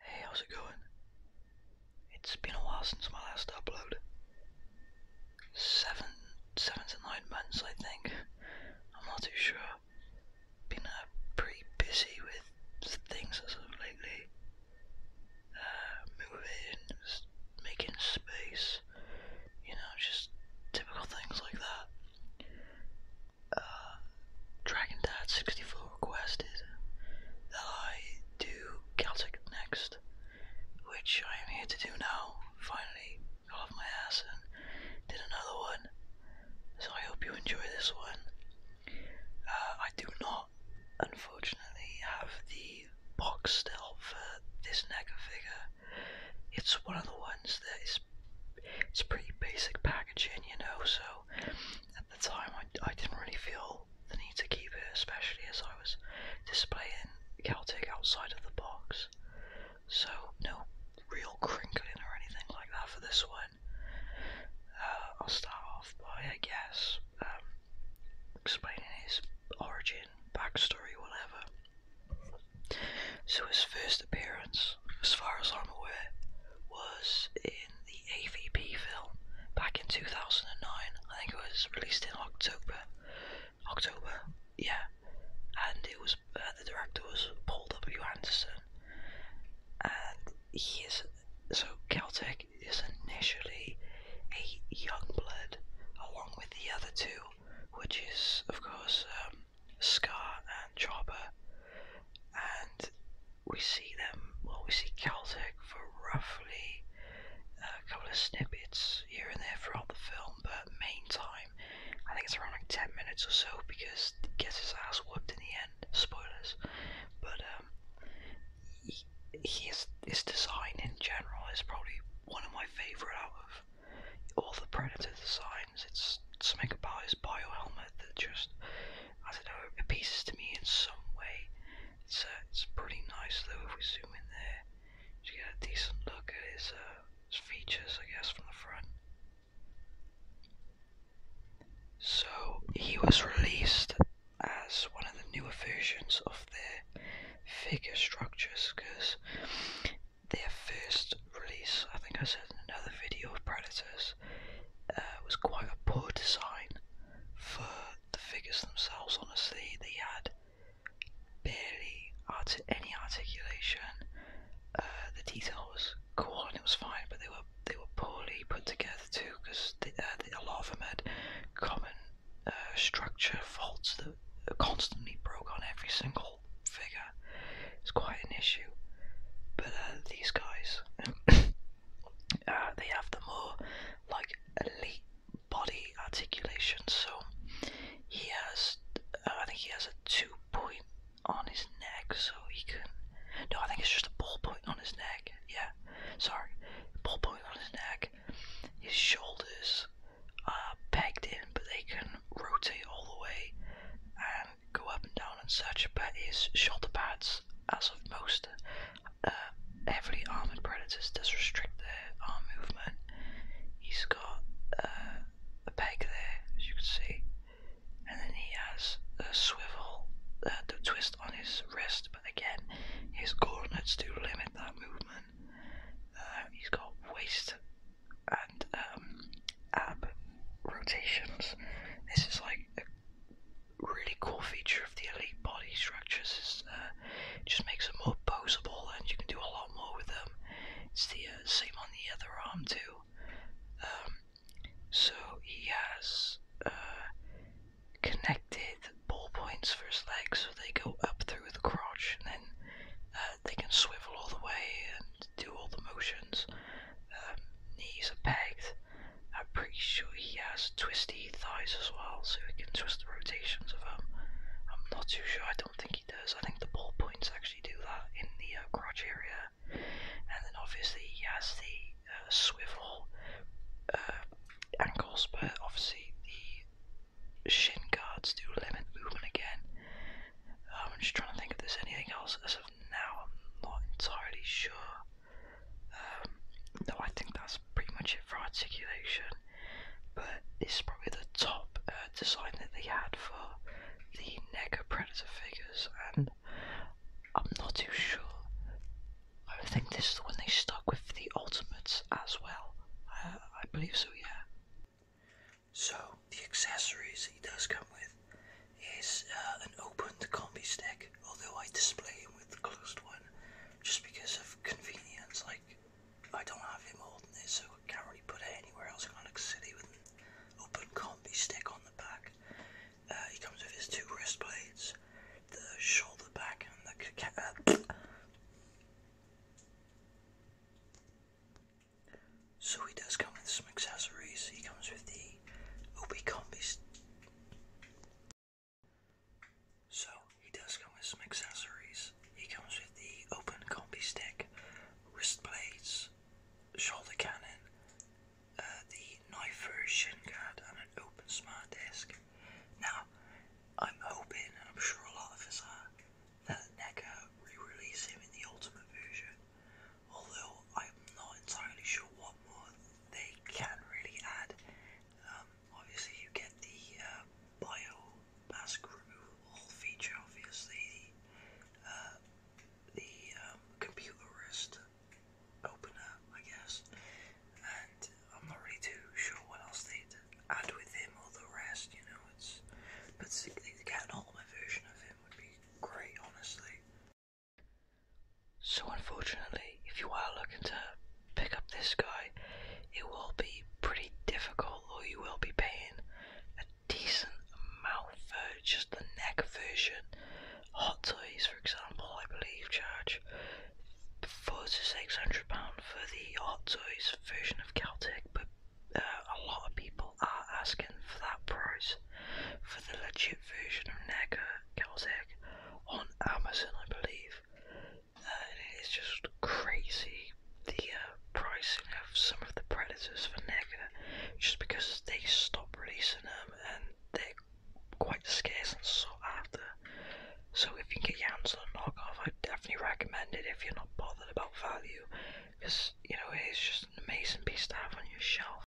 Hey, how's it going? It's been a while since my last upload. Seven, seven to nine months, I think. I'm not too sure. Been uh, pretty busy with things as of lately. Uh, moving, making space, you know, just typical things like that. Uh, Dragon Dad 64 requested that I do Celtic next, which I am here to do now. Finally, got off my ass and did another one. So I hope you enjoy this one. Uh, I do not, unfortunately, have the box still for this NECA figure. It's one of the ones that is it's pretty basic packaging, you know, so the time I, I didn't really feel the need to keep it, especially as I was displaying Celtic outside of the box. So, no real crinkling or anything like that for this one. Uh, I'll start off by, I guess, um, explaining his origin, backstory, whatever. So, his first appearance as far as I'm aware, was in the AVP film back in 2009. I think it was released in October. October, yeah. And it was uh, the director was Paul W. Anderson, and he is so Celtic is initially a young blood along with the other two, which is of course um, Scar and Chopper, and we see them, well, we see Caltech for roughly a couple of snippets here and there throughout the film, but main time, I think it's around like 10 minutes or so because he gets his ass whooped in the end. Spoilers. But, um, he, his, his design in general is probably one of my favorite out of all the Predator designs. It's something about his bio helmet that just I don't know, appeases to me in some way. It's uh, it's pretty nice though if we zoom in there. You get a decent look at his, uh, his features, I guess, from the front. So he was released as one of the newer versions of their figure structures because their first release, I think I said in another video of Predators, it uh, was quite a poor design for the figures themselves, honestly. They had barely arti any articulation. Uh, the detail was cool and it was fine, but they were they were poorly put together too, because uh, a lot of them had common structure faults that constantly broke on every single figure. It's quite an issue. But these guys, uh, they have the more like elite body articulation. So he has, uh, I think he has a two point on his neck, so he can. No, I think it's just a ball point on his neck. Yeah, sorry, ball point on his neck. His shoulders are pegged in, but they can rotate all the way, go up and down and such, but his shoulder pads, as of most uh, heavily armored predators, does restrict their arm movement. He's got uh, a peg there, as you can see, and then he has a swivel, that uh, the twist on his wrist, but again, his coordinates do limit that movement. Uh, he's got waist and um, ab rotations. This is like really cool feature of the Elite body structures is uh, just makes them more posable and you can do a lot more with them. It's the uh, same on the other arm too. Um, so he has uh, connected ball points for his legs so they go up through the crotch and then they can swivel all the way and do all the motions. Um, knees are pegged. I'm pretty sure he has twisty thighs as well, so he can twist the rotations of them. I'm not too sure, I don't think he does. I think the ball points actually do that in the uh, crotch area. And then obviously he has the uh, swivel uh, ankles, but obviously the shin guards do limit movement again. Um, I'm just trying to think if there's anything else as of now, I'm not entirely sure. Um, no, I think that's pretty much it for articulation, but this is probably the top uh, design that they had for the Nega Predator figures, and I'm not too sure. I think this is the one they stuck with the Ultimates as well. Uh, I believe so, yeah. So, the accessories he does come with is uh, an opened combi stick, although I display him with the closed one just because of convenience. Like, I don't have him holding it, so I can't really put it anywhere else in Onyx City with an open combi stick on the back. Uh, he comes with his two wrist blades, the shoulder back, and the. Uh, so he does come with some accessories. He comes with the me oh, who so he does come with some accessories. He comes with the open combi stick, wrist blades, shoulder cannon, uh, the knife for shin guard, and an open smart desk. Now, I'm hoping, I'm sure a lot of us are, that NECA re-release him in the ultimate version, although I'm not entirely sure what more they can really add. Um, obviously, you get the uh, bio mask removal feature, obviously, uh, the um, computer wrist opener, I guess, and I'm not really too sure what else they'd add with him or the rest, you know. It's but to get an ultimate version of him would be great, honestly. So unfortunately, if you are looking to pick up this guy, it will be pretty difficult or you will be paying a decent amount for just the neck version. Hot Toys, for example, I believe charge four to six hundred pound for the Hot Toys version of Celtic, but uh, a lot of people are asking for that price for the legit version of NECA cows on Amazon, I believe. Uh, and it is just crazy the uh, pricing of some of the predators for NECA, just because they stop releasing them and they're quite scarce and sought after. So if you can get your hands on a knockoff, I definitely recommend it if you're not bothered about value, because you know it is just an amazing piece to have on your shelf.